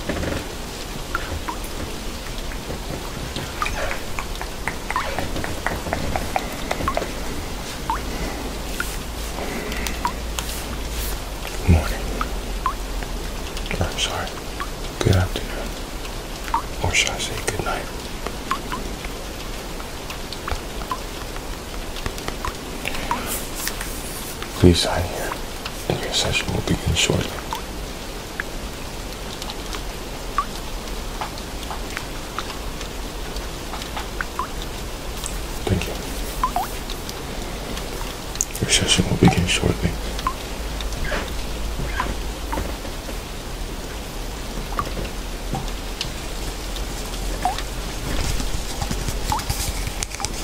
Morning. I'm sorry. Good afternoon. Or should I say good night? Please sign here, and your session will begin shortly. Thank you. Your session will begin shortly.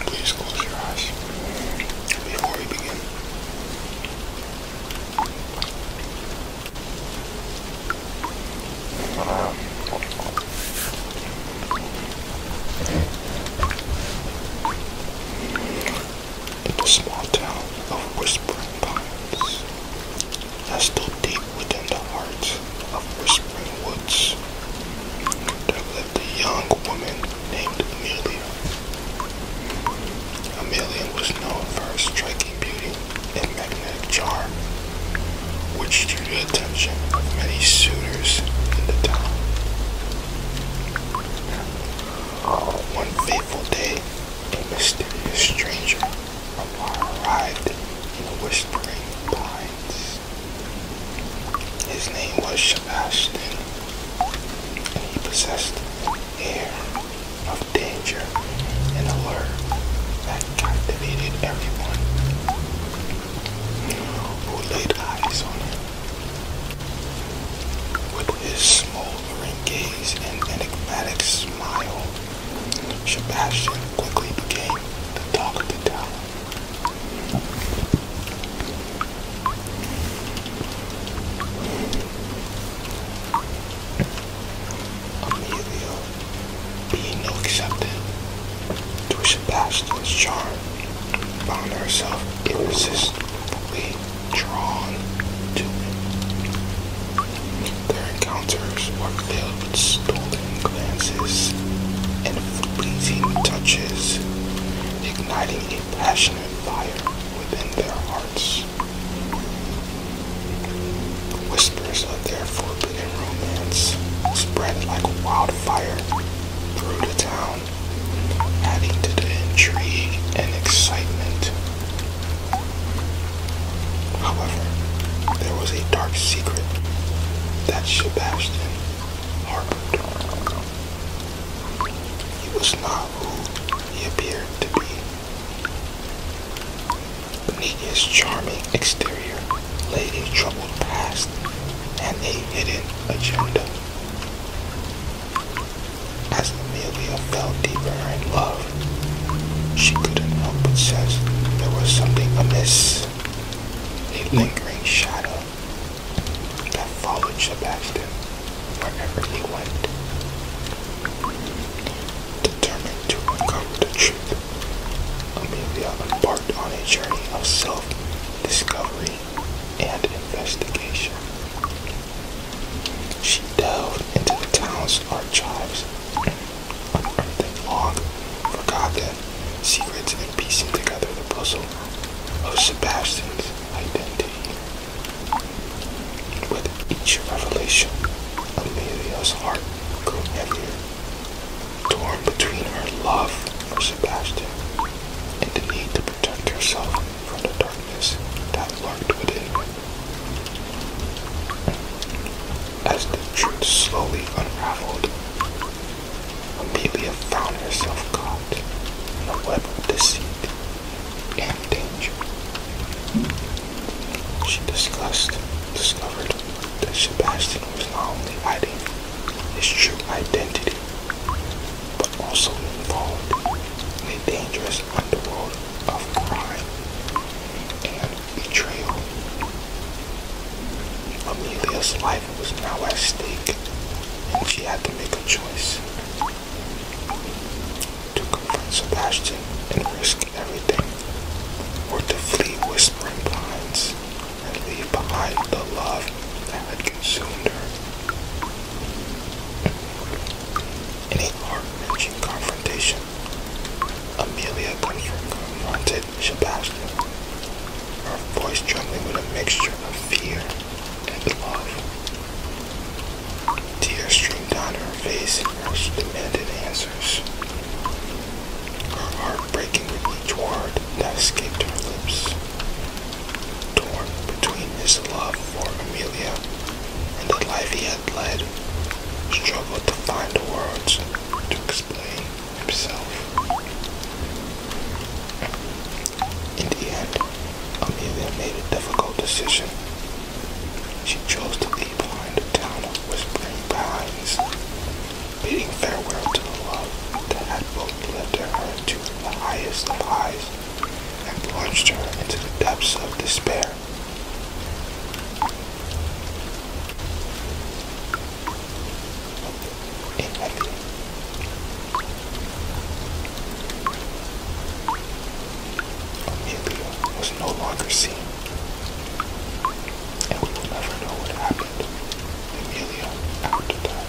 Please close your eyes before we begin. Um, in the small town of Whispering Pines, nestled deep within the heart of Whispering Woods, there lived a young woman named Amelia. Amelia was known for her striking beauty and magnetic charm which drew the attention of many suitors in the town. One fateful day, a mysterious stranger arrived in the Whispering Pines. His name was Sebastian, and he possessed an air of danger and allure that captivated everyone who laid eyes on him. With his smoldering gaze and enigmatic smile, Sebastian quickly became the talk of the town. Amelia being no accepted. To Sebastian's charm, found herself irresistibly drawn to it. Their encounters were filled with stolen glances and fleeting touches, igniting a passionate fire within their hearts. Whispers of their forbidden romance spread like wildfire through the town, adding to the intrigue and excitement. However, there was a dark secret that Sebastian harbored. He was not who he appeared to be beneath his charming exterior lady's troubled past and a hidden agenda. As Amelia fell deeper in love, she couldn't help but sense there was something amiss, a lingering shadow that followed Sebastian wherever he went determined to recover the truth. Amelia embarked on a journey of self-discovery and investigation. She delved into the town's archives, unearthing long forgotten secrets and piecing together the puzzle of Sebastian's identity. With each revelation, Amelia's heart grew heavier, torn between her love for Sebastian and the need to protect herself from the darkness that lurked within As the truth slowly unraveled, Amelia found herself caught in a web of deceit and danger. She discussed, discovered that Sebastian was not only hiding his true identity, but also involved in a dangerous underworld of crime and betrayal. Amelia's life was now at stake, and she had to make a choice to confront Sebastian and risk everything, or to flee whispering blinds and leave behind the love that had consumed her. In a heart confrontation, Amelia confronted Sebastian, her voice trembling with a mixture of fear and love. Tears streamed down her face as she demanded answers. Her heart breaking with each word that escaped her lips. Torn between his love for Amelia and the life he had led, struggled to find the words to explain himself. In the end, Amelia made a difficult decision. She chose to leave behind the town of whispering pines, bidding farewell to the love that had both lifted her to the highest of highs and plunged her into the depths of despair inventory. Amelia was no longer seen, and we will never know what happened to Amelia after that.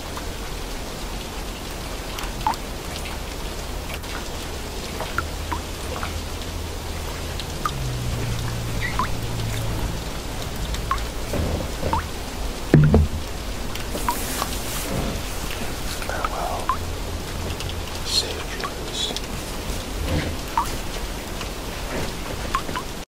Farewell, safe dreams.